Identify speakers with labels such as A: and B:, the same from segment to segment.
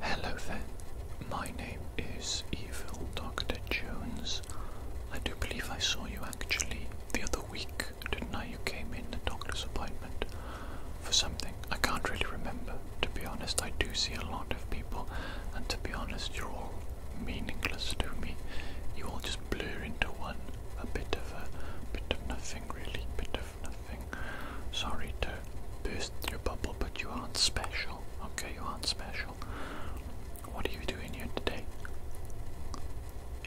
A: Hello there, my name is Evil Dr. Jones. I do believe I saw you actually the other week, didn't I? You came in the doctor's appointment for something. I can't really remember, to be honest. I do see a lot of people, and to be honest, you're all meaningless to me. You all just blur into one. A bit of a bit of nothing, really. Bit of nothing. Sorry to burst your bubble, but you aren't special. Okay, you aren't special. What are you doing here today?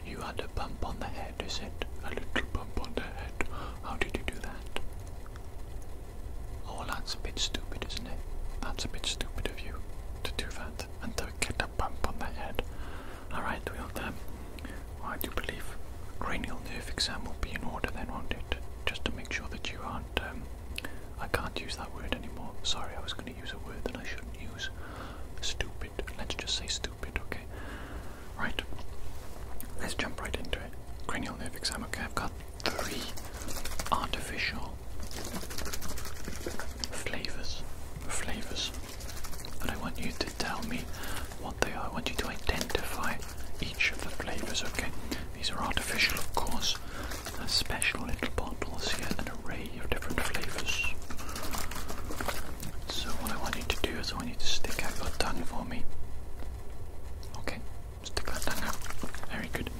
A: You had a bump on the head, is it? A little bump on the head. How did you do that? Oh, that's a bit stupid, isn't it? That's a bit stupid of you to do that and to get a bump on the head. Alright, we we'll then. I do believe cranial nerve exam will be in order then, won't it? Just to make sure that you are um, I can't use that word anymore. Sorry, I was going to use a word that I shouldn't use. Stupid. Let's just say stupid, okay? Right. Let's jump right into it. Cranial nerve exam. Okay, I've got three artificial flavors, flavors, but I want you to tell me what they are. I want you to identify each of the flavors. Okay, these are artificial, of course. They're special little bottles here, an array of different flavours. So what I want you to do is I want you to stick out your tongue for me. Okay, stick that tongue out. Very good.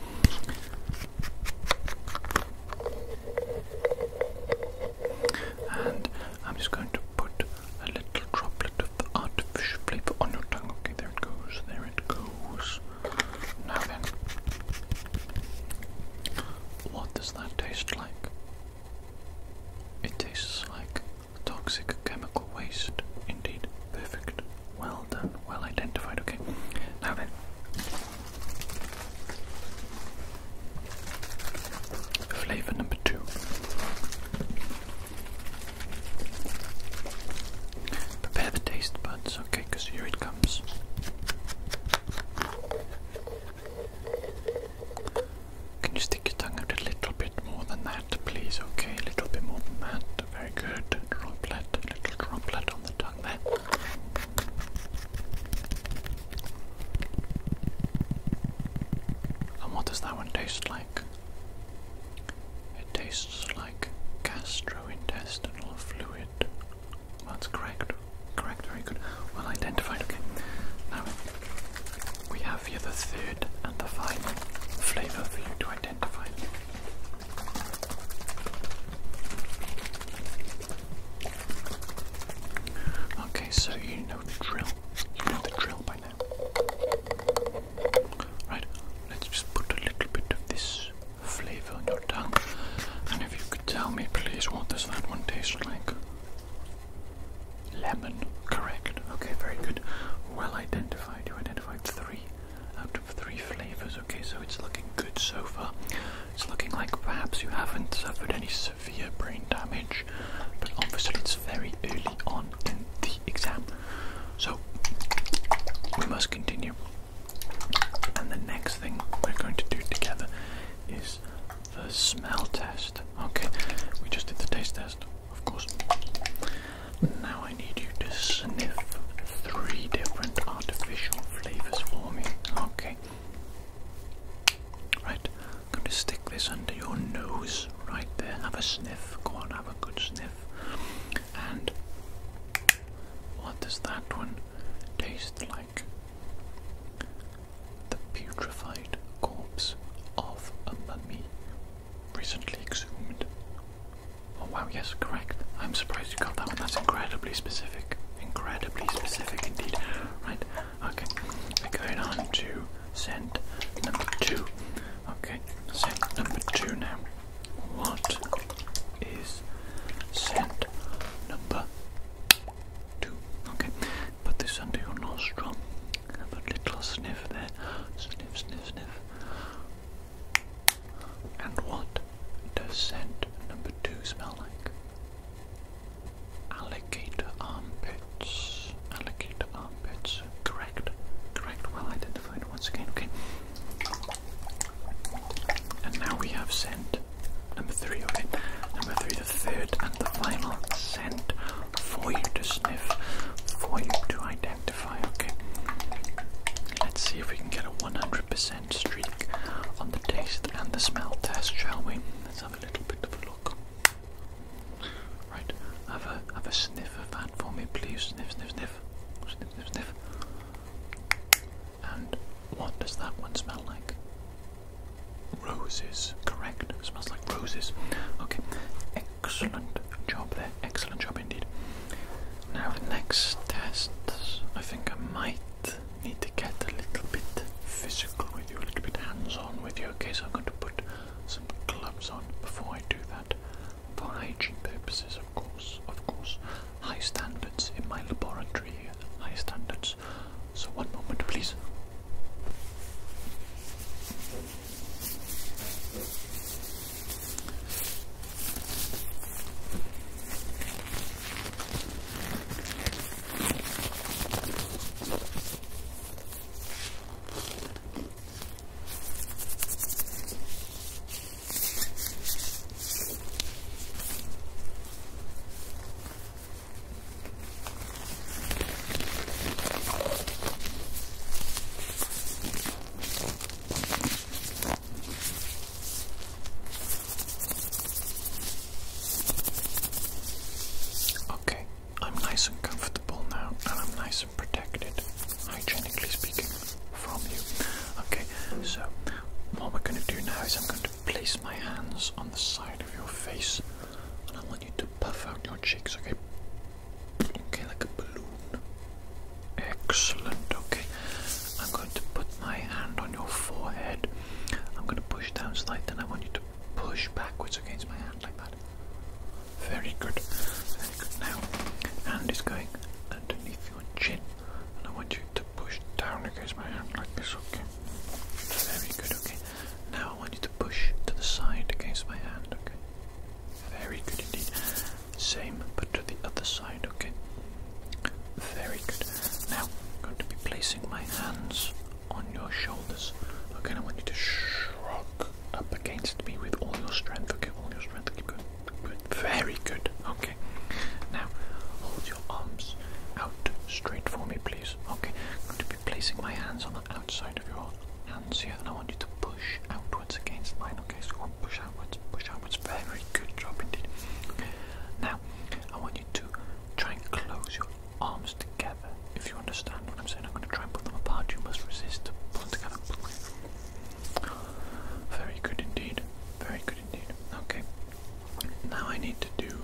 A: And I'm just going to put a little droplet bit artificial flavour on your tongue. Okay, there it goes, there it goes. Now then, what does that taste like? It tastes like toxic chemical waste. Indeed, perfect. Well done, well identified. Okay, now then. Flavor number two. Prepare the taste buds, okay, because here it comes. Can you stick your tongue out a little bit more than that, please? Okay, a little bit more than that. Very good. Droplet, little droplet on the tongue there. And what does that one taste like? It tastes like gastrointestinal fluid. That's correct. Correct, very good. Well identified, okay. Now, we have here the third and the final flavour for you to identify. Okay, so you know the drill. You know the drill by now. Right, let's just put a little bit of this flavor on your tongue. And if you could tell me, please, what does that one taste like? Lemon, correct. Okay, very good. Well identified. You identified three out of three flavors. Okay, so it's looking good so far. It's looking like perhaps you haven't suffered any severe brain damage, but obviously it's very early on in the exam. So we must continue. And the next thing we're going to do together is the smell test. Okay, we just did the taste test, of course. Now I need you to sniff three different artificial flavors for me. Okay. Right, I'm going to stick this under your nose right there. Have a sniff. Go on, have a good sniff. And what does that one taste like? The putrefied corpse of a mummy recently exhumed. Oh wow, yes, correct. I'm surprised you got that one. That's incredibly specific. Incredibly specific indeed. Right, okay. We're going on to scent number two. Okay, scent number two now. What is scent number two? Okay, put this under your nostril. Have a little sniff there. Sniff, sniff, sniff. And what does scent number two smell like? Alligator armpits. Alligator armpits correct. Correct, well identified once again. Okay. And now we have scent number three. Okay. Number three, the third and the final scent for you to sniff, for you to identify. Okay. Let's see if we can get a 100% streak on the taste and the smell test, shall we? Let's have a little bit of a look. Right, have a have a sniff of that for me, please? Sniff, sniff, sniff. Sniff, sniff, sniff. And what does that one smell like? Roses, correct. smells like roses. Okay, excellent job there. Excellent job indeed. Now, the next test, I think I might need to get a little bit physical with you, a little bit hands on with you. Okay, so I'm going to put some gloves on before I do that for hygiene purposes, of course, of course. High standards in my laboratory, high standards. So, one moment, please. Okay, I'm nice and comfortable now, and I'm nice and protected hygienically speaking, from you. Okay, so what we're going to do now is I'm going to place my hands on the side of your face and I want you to puff out your cheeks, okay? Okay, like a balloon. Excellent, okay. I'm going to put my hand on your forehead. I'm going to push down slightly and I want you to push backwards against my hand like that. Very good. Now, hand is going underneath your chin, and I want you to push down against my hand like this, okay? Very good, okay. Now I want you to push to the side against my hand, okay? Very good indeed. Same, but to the other side, okay? Very good. Now, I'm going to be placing my hands on your shoulders. Okay, I want you to shrug up against me with all your strength. Okay, all your strength. Okay. going very good. Okay. Now, hold your arms out straight for me, please. Okay. I'm going to be placing my hands on the outside of your hands here, and I want you to push outwards against mine. Okay, so push outwards, push outwards. Very good job indeed. Now, I want you to try and close your arms together. If you understand what I'm saying, I'm going to try and put them apart. You must resist. Put them together. Very good indeed. Very good indeed. Okay. Now I need to do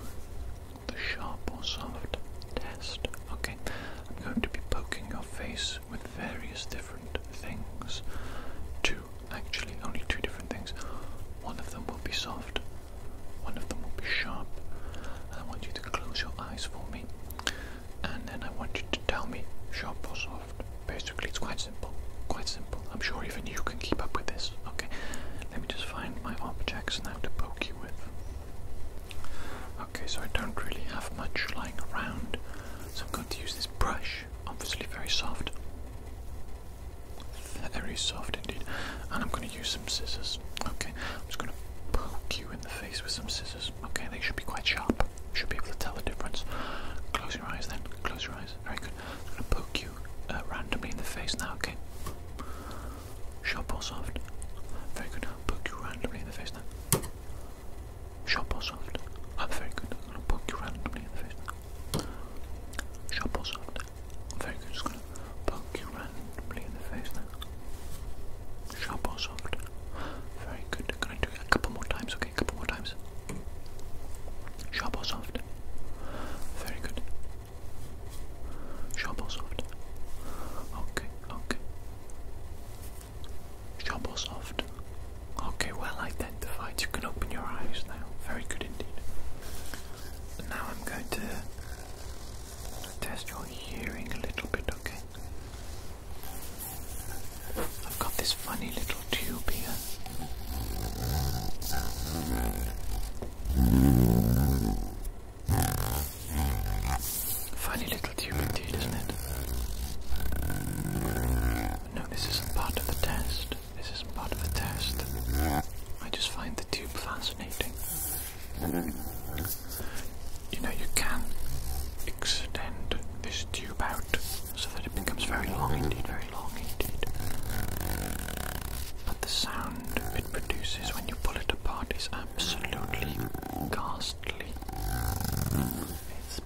A: the sharp or soft test. Okay. I'm going to be poking your face with various different things. Two, actually, only two different things. One of them will be soft, one of them will be sharp. I want you to close your eyes for me. And then I want you to tell me sharp or soft. Basically, it's quite simple. Quite simple. I'm sure even you can keep up with this. Okay, let me just find my objects now to poke you with. Okay, so I don't really have much lying around, so I'm going to use this brush. Obviously, very soft. Very soft indeed. And I'm going to use some scissors. Okay, I'm just going to poke you in the face with some scissors. Okay, they should be quite sharp should be able to tell the difference. Close your eyes then, close your eyes. Very good. I'm going to poke you uh, randomly in the face now, okay? Sharp or soft? Very good. I'll poke you randomly in the face now. Sharp or soft? Oh, very good. I'm going to poke you randomly in the face now. Sharp or soft? Very good. Just going to poke you randomly in the face now. Sharp or soft? Very good. I'm going to do it a couple more times, okay? A couple more times. Sharp or soft? Very good. Sharp or soft? Okay, okay. Sharp Okay, well identified. You can open your eyes now. Very good indeed. now I'm going to test your hearing a little bit, okay? I've got this funny little tube here. Funny little tube indeed, isn't it? No, this isn't part of the test. This isn't part of the test. I just find the tube fascinating. You know, you can extend this tube out so that it becomes very long indeed, very long indeed. But the sound it produces when you pull it apart is absolutely ghastly. It's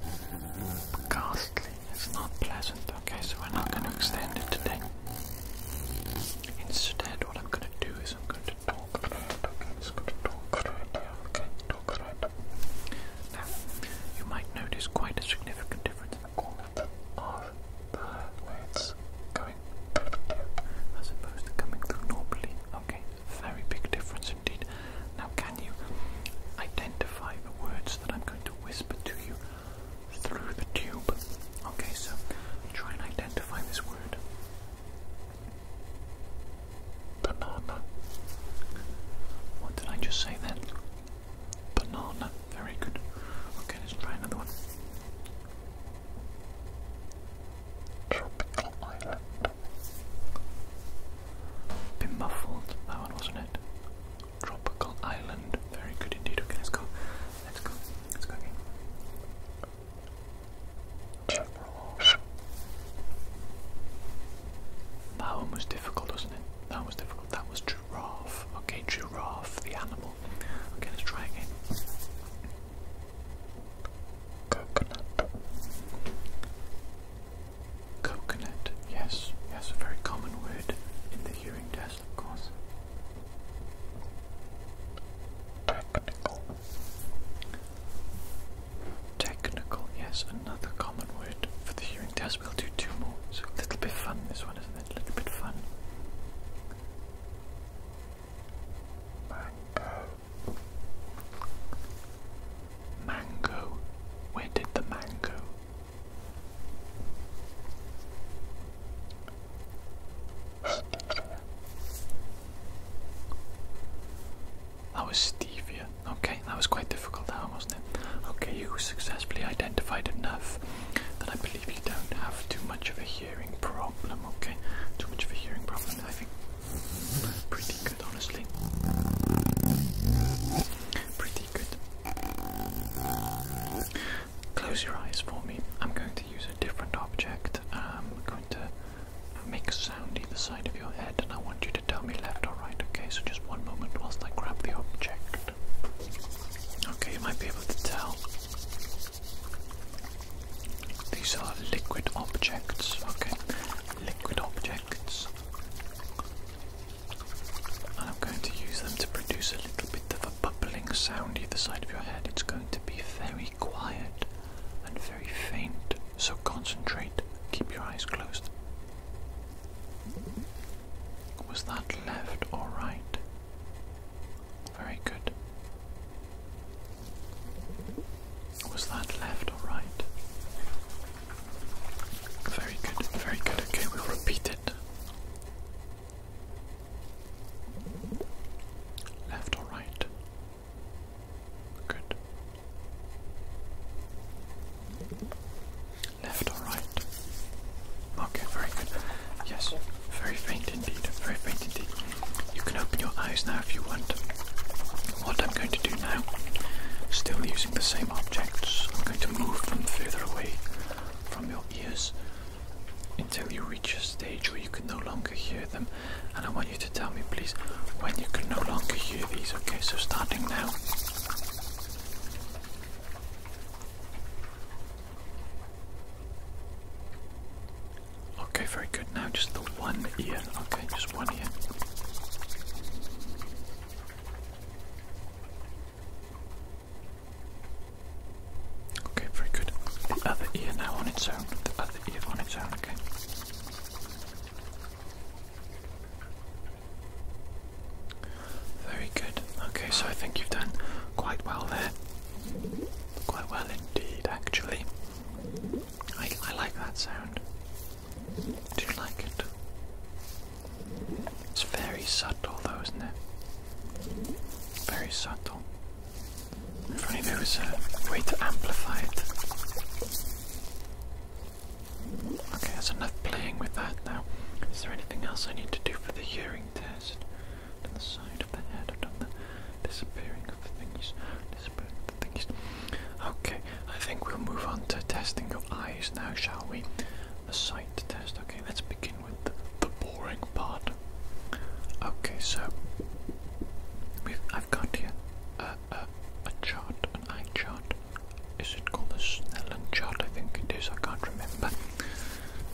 A: ghastly, it's not pleasant, okay, so we're not going to extend it today. Instead, what I'm going to do is I'm going to talk I'm just going to talk about it, okay. Correct. Now, you might notice quite a significant difference in the quality of the words going as opposed to coming through normally. Okay, very big difference indeed. Now, can you identify the words that I'm going to whisper to you through the tube? Okay, so try and identify this word. Banana. What did I just say then? banana. Very good. Okay, let's try another one. Tropical island. Been That one wasn't it. Tropical island. Very good indeed. Okay, let's go. Let's go. Let's go again. That one was difficult, wasn't it? That was difficult. That was giraffe. Okay, giraffe, the animal. Okay, let's try again. Coconut. Coconut, yes, yes, a very common word in the hearing test, of course. Technical. Technical, yes, another common word for the hearing test. We'll do two more. So a little bit fun this one, isn't it? A little bit fun. Mango. Mango. Where did the mango? That was stevia. Okay, that was quite difficult now, wasn't it? Okay, you successfully identified enough that I believe you don't have too much of a hearing problem, okay? Too much of a hearing problem, I think. Pretty good, honestly. Pretty good. Close your eyes for me. I'm going to use a different object. I'm going to make a sound either side of your head, and I want you to tell me left or right, okay? So just one moment whilst I grab the object. Okay, you might be able to tell. These are liquid objects. Okay, liquid objects. And I'm going to use them to produce a little bit of a bubbling sound either side of your head. It's going to be very quiet and very faint, so concentrate, keep your eyes closed. Was that left or right? Very good. Was that left or right? Very good, very good. Okay, we'll repeat it. Left or right? Good. Left or right? Okay, very good. Yes, very faint indeed. Very faint indeed. You can open your eyes now if you want. What I'm going to do now, still using the same objects, I'm going to move them further away from your ears until you reach a stage where you can no longer hear them. And I want you to tell me, please, when you can no longer hear these. Okay, so starting now. Okay, very good. Now just the one ear. Okay, just one ear. Okay, very good. The other ear now on its own. The other ear on its own, okay. Very good. Okay, so I think you've done quite well there. Quite well indeed, actually. I, I like that sound. Do you like it? It's very subtle, though, isn't it? Very subtle. If only there was a way to amplify it. Okay, that's enough playing with that now. Is there anything else I need to do for the hearing test? To the side of the head, I've done the disappearing of the thingies. Disappearing of the thingies. Okay, I think we'll move on to testing your eyes now, shall we? The sight test. Okay, let's begin with the, boring part. Okay, so we've I've got here a, a, a chart, an eye chart is it called the Snellen chart? I think it is, I can't remember.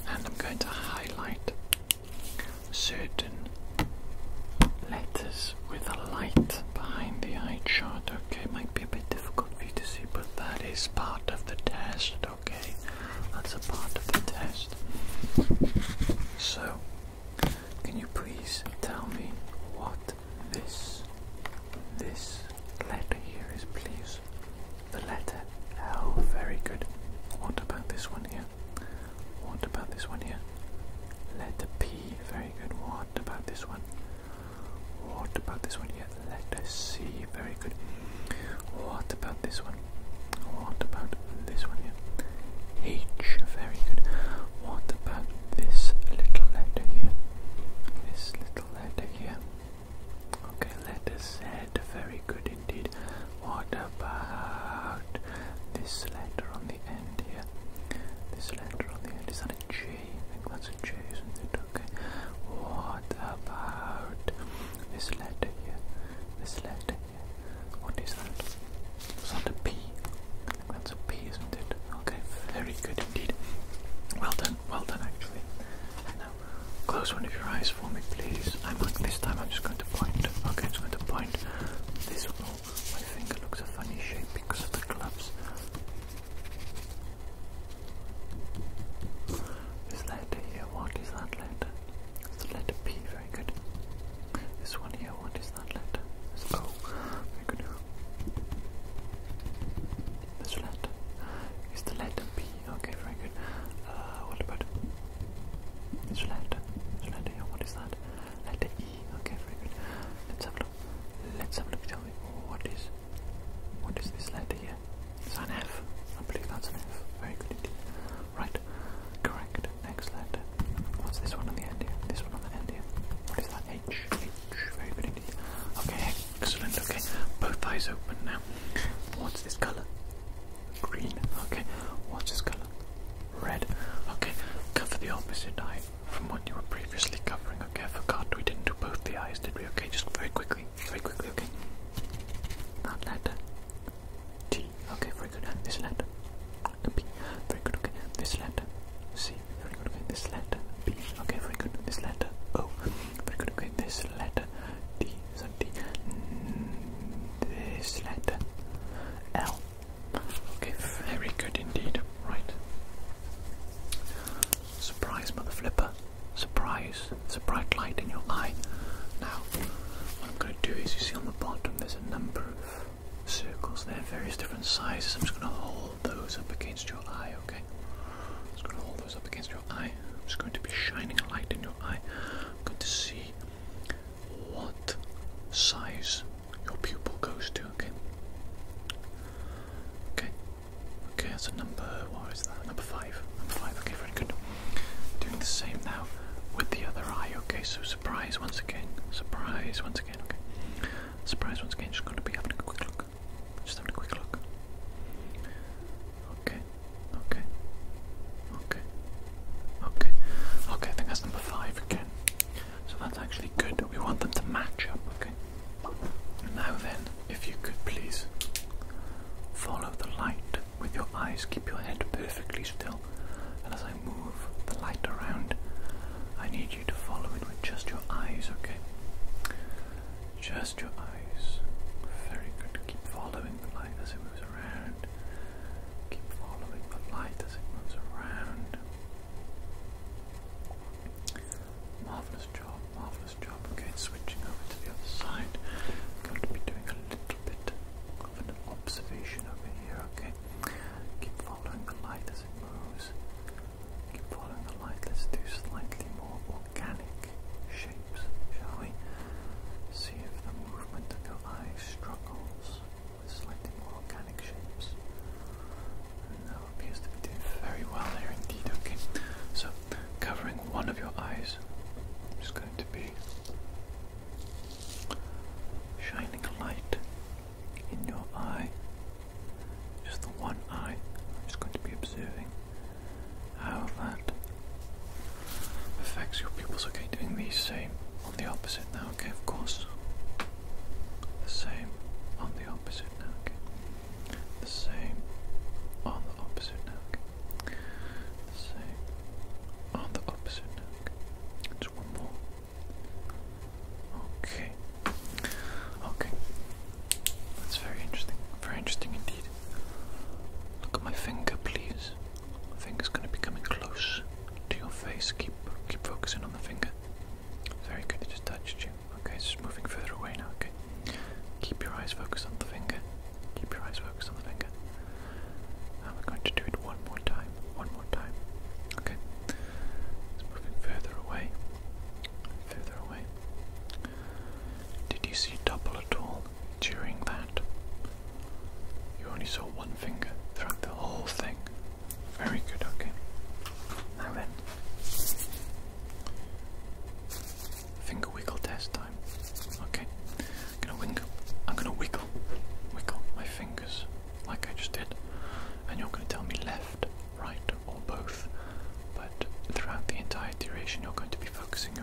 A: And I'm going to highlight certain letters with a light behind the eye chart. Okay, it might be a bit difficult for you to see, but that is part of the test, okay? That's a part of the test. So, can you please tell me what this this letter here is please. The letter L. Very good. What about this one here? What about this one here? Letter P. Very good. What about this one? What about this one here? Letter C. Very good. What about this one? What about this one here? H. Very good. What about this little letter here? This little letter here. Okay, letters Z, very good indeed. What about this letter on the end here? This letter on the end, is on a J? I think that's a J, isn't it? Okay. What about this letter here? This letter here. What is that? Is that a P? I think that's a P, isn't it? Okay, very good indeed. Well done well done actually. now, close one of your eyes for me, please. I'm not, this time I'm just going to point. Okay, I'm just going to point this one. Oh, my finger looks a funny shape because of the gloves. This letter here, what is that letter? It's the letter P, very good. This one here, what is that letter? It's O, very good. This letter is the letter P. Okay, very good. Uh, what about this letter? letter what is that? Letter E. Okay, very good. Let's have a look. Let's have a look, shall we? What is what is this letter here? It's an F. I believe that's an F. Very good indeed. Right. Correct. Next letter. What's this one on the end here? This one on the end here. What is that? H. H. Very good indeed. Okay, H. Excellent, okay. Both eyes open now. What's this colour? Green, okay. What's this colour? Red, okay. Cover the opposite eye from what you were previously covering, okay. I forgot we didn't do both the eyes, did we? Okay, just very quickly, very quickly, okay. That letter. T, okay, very good. This letter. B, very good, okay. This letter. C, very good, okay. This letter. B, okay, very good. This letter. O we're gonna get this letter D so D this letter L okay very good indeed right surprise mother flipper surprise it's a bright light in your eye now what I'm gonna do is you see on the bottom there's a number of circles They're various different sizes I'm just gonna hold those up against your eye okay hold up against your eye. i going to be shining a light in your eye. I'm going to see what size your pupil goes to, okay? Okay. Okay, that's a number what is that? Number five. Number five, okay, very good. Doing the same now with the other eye, okay, so surprise once again. Surprise once again, okay. Surprise once again, just gonna be having a quick look. Just having a quick look. Okay, okay, okay, okay, okay. I think that's number five again. So that's actually good. We want them to match up, okay? Now then, if you could please follow the light with your eyes, keep your head perfectly still, and as I move the light around, I need you to follow it with just your eyes, okay? Just your eyes. Very good. Keep following the light as it moves around. Keep following the light as it moves around. Marvelous job, marvelous job. Okay, switching over to the other side. going to be doing a little bit of an observation over here, okay? Keep following the light as it moves. Keep following the light. Let's do slightly more organic shapes, shall we? See if the movement of your eye struggles with slightly organic shapes. And that appears to be doing very well there indeed. Okay, so covering one of your eyes just going to be shining a light in your eye. Just the one eye. I'm just going to be observing how that affects your pupils. Okay, doing the same on the opposite now. Okay, of course. The same on the opposite now. Okay, the same on the opposite now. Okay, the same on the opposite now. Okay, one more. Okay, okay, that's very interesting. Very interesting indeed. Look at my finger, please. My finger's going to be coming close to your face. Keep keep focusing on the finger. Very good, it just touched you. Okay, it's just moving further away now. Okay. Keep your eyes focused on the finger. Keep your eyes focused on the finger. And we're going to do it one more time. One more time. Okay. It's moving further away. Further away. Did you see double at all during that? You only saw one finger throughout the whole thing. Very good, okay. Now then. Finger wiggle test time. Okay. I'm gonna wiggle I'm gonna wiggle. Wiggle my fingers like I just did. And you're gonna tell me left, right, or both. But throughout the entire duration you're going to be focusing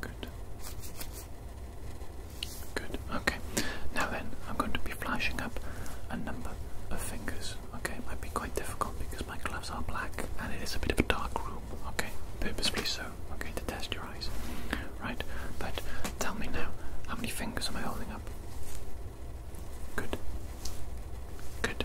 A: Good. Good. Okay. Now then, I'm going to be flashing up a number of fingers. Okay, it might be quite difficult because my gloves are black and it is a bit of a dark room. Okay, purposefully so. Okay, to test your eyes. Right, but tell me now, how many fingers am I holding up? Good. Good.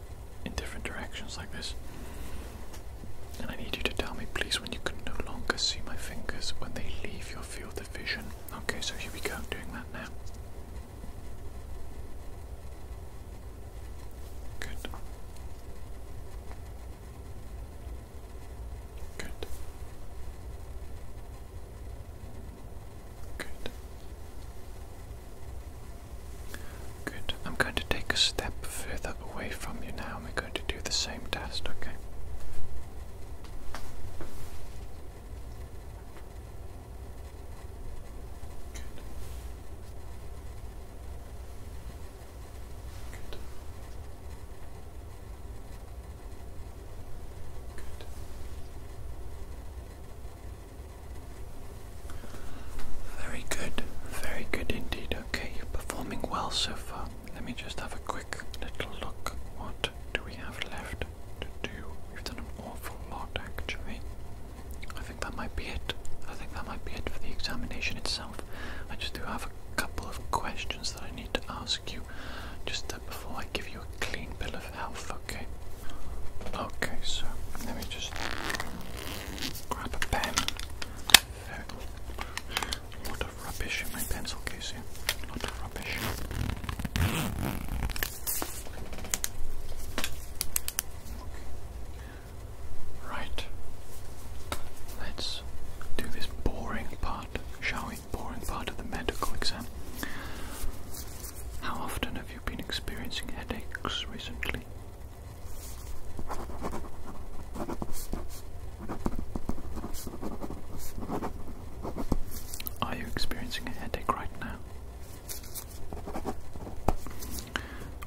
A: in different directions like this. And I need you to tell me, please, when you can no longer see my fingers when they leave your field of vision. Okay, so here we go, doing that now. Good. Good. Good. Good. I'm going to take a step further away from you now and we're going to do the same test, okay? Good. Good. Very good, very good indeed. Okay, you're performing well so far. Let me just have a quick little look. What do we have left to do? We've done an awful lot actually. I think that might be it. I think that might be it for the examination itself. I just do have a couple of questions that I need to ask you just uh, before I give you a clean bill okay? Okay, so let me just grab a pen. lot of rubbish in my pencil case here. lot of rubbish. Right. Let's do this boring part, shall we? Boring part of the medical exam. How often have have you been experiencing headaches recently? Are you experiencing a headache right now?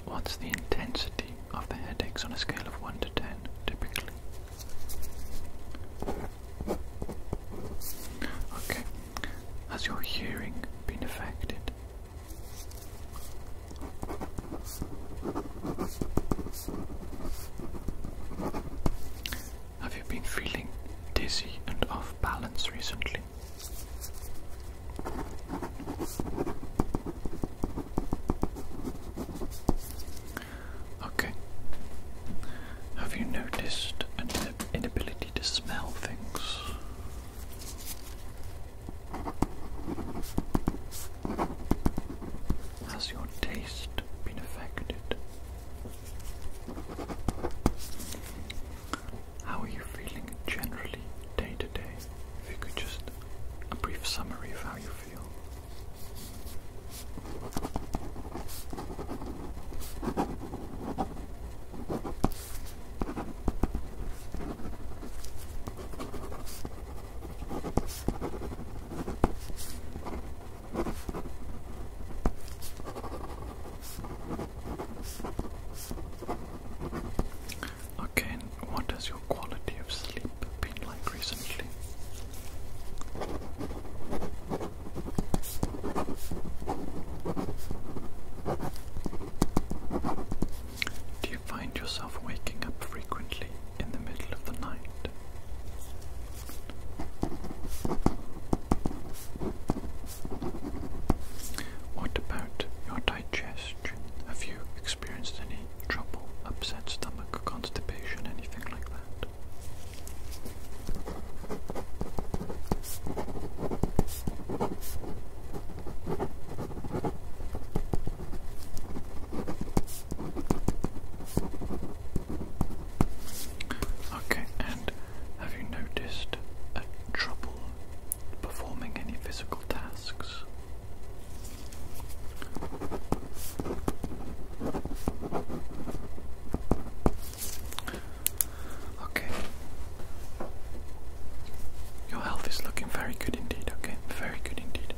A: What's the intensity of the headaches on a scale of 1 to 10 typically? Okay. Has your hearing been affected? Have you been feeling dizzy and off balance recently? Okay. Have you noticed an inability to smell things? Has your taste been affected? How are you feeling generally day to day? If you could just a brief summary of how you feel. Okay, what has your quality of sleep been like recently? Do you find yourself waking up frequently in the middle of the night? What about your digestion? Have you experienced any trouble, upset stomach, constipation, anything like that? Okay, and have you noticed a trouble performing any physical tasks? Okay. Your health is looking very good indeed, okay? Very good indeed.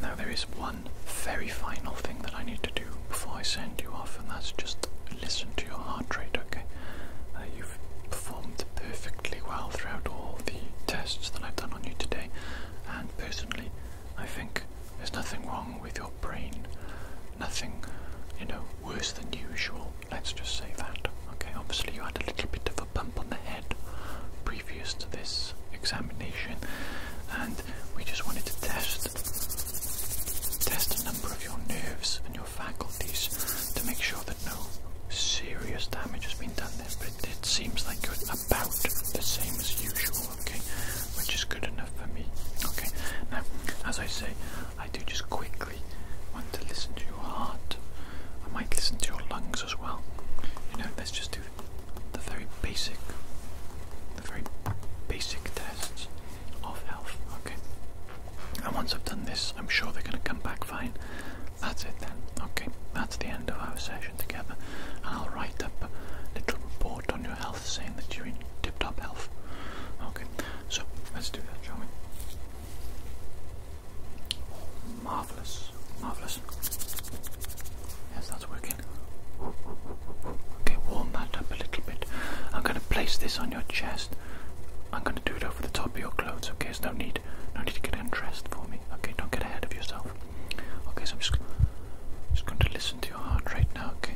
A: Now, there is one very final thing that I need to do before I send you off, and that's just listen to your heart rate, okay? Uh, you've performed perfectly well throughout all the tests that I've done on you today, and personally, I think there's nothing wrong with your brain, nothing, you know, worse than usual. Let's just say that. Okay, obviously you had a little bit of a bump on the head previous to this examination, and we just wanted to test test a number of your nerves and your faculties to make sure that no serious damage has been done there. But it, seems like you're about the same as usual, okay? Which is good enough for me. Okay. Now, as I say, I do just quickly want to listen to your heart. I might listen to your lungs as well. You know, let's just do the very basic, the very basic tests of health. Okay. And once I've done this, I'm sure they're going to come back fine. That's it then. Okay, that's the end of our session together. And I'll write up a little report on your health saying that you're in tip top health. Okay, so let's do that, shall we? Marvelous, marvelous. Yes, that's working. Okay, warm that up a little bit. I'm going to place this on your chest. I'm going to do it over the top of your clothes. Okay, there's no need, no need to get undressed for me. Okay, don't get ahead of yourself. Okay, so I'm just, just going to listen to your heart right now. Okay,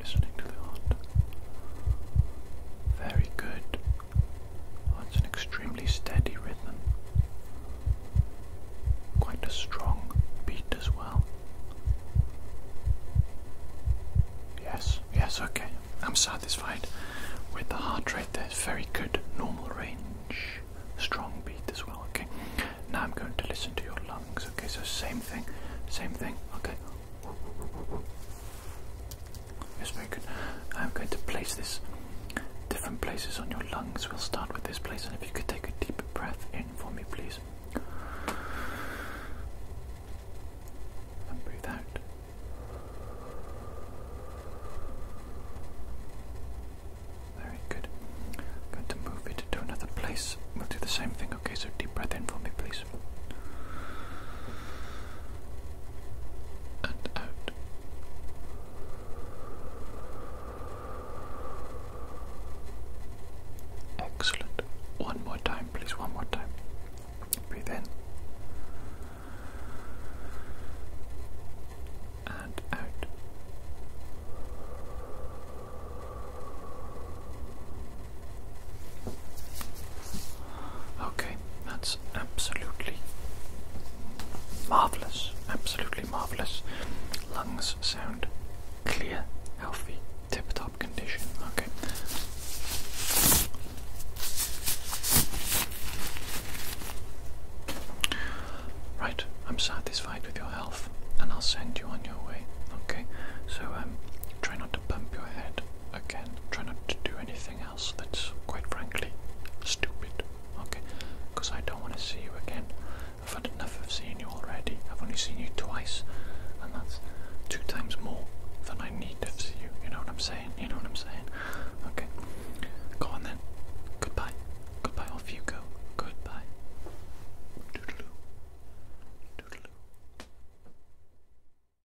A: listening to the heart. Very good. That's an extremely steady rhythm. Quite a strong beat as well. Yes, yes, okay. I'm satisfied with the heart rate there. very good. Normal range. Strong beat as well, okay. Now I'm going to listen to your lungs, okay. So, same thing, same thing, okay. Yes, very good. I'm going to place this different places on your lungs. We'll start with this place, and if you could take a deep breath in for me, please. And breathe out. Very good. going to move it to another place. We'll do the same thing, okay? So deep breath in for me, please. And out. Excellent. One more time, please. One more time. Breathe And out. Okay, that's absolutely marvelous. Absolutely marvelous. Lungs sound clear, healthy, tip top condition. Okay. Right, I'm satisfied with your health and I'll send you on your way. Okay, so um, try not to bump your head again, try not to do anything that's quite frankly stupid, okay? Because I don't want to see you again. I've had enough of seeing you already. I've only seen you twice, and that's two times more than I need to see you. You know what I'm saying? You know what I'm saying? Okay. Go on then. Goodbye. Goodbye, off you go. Goodbye.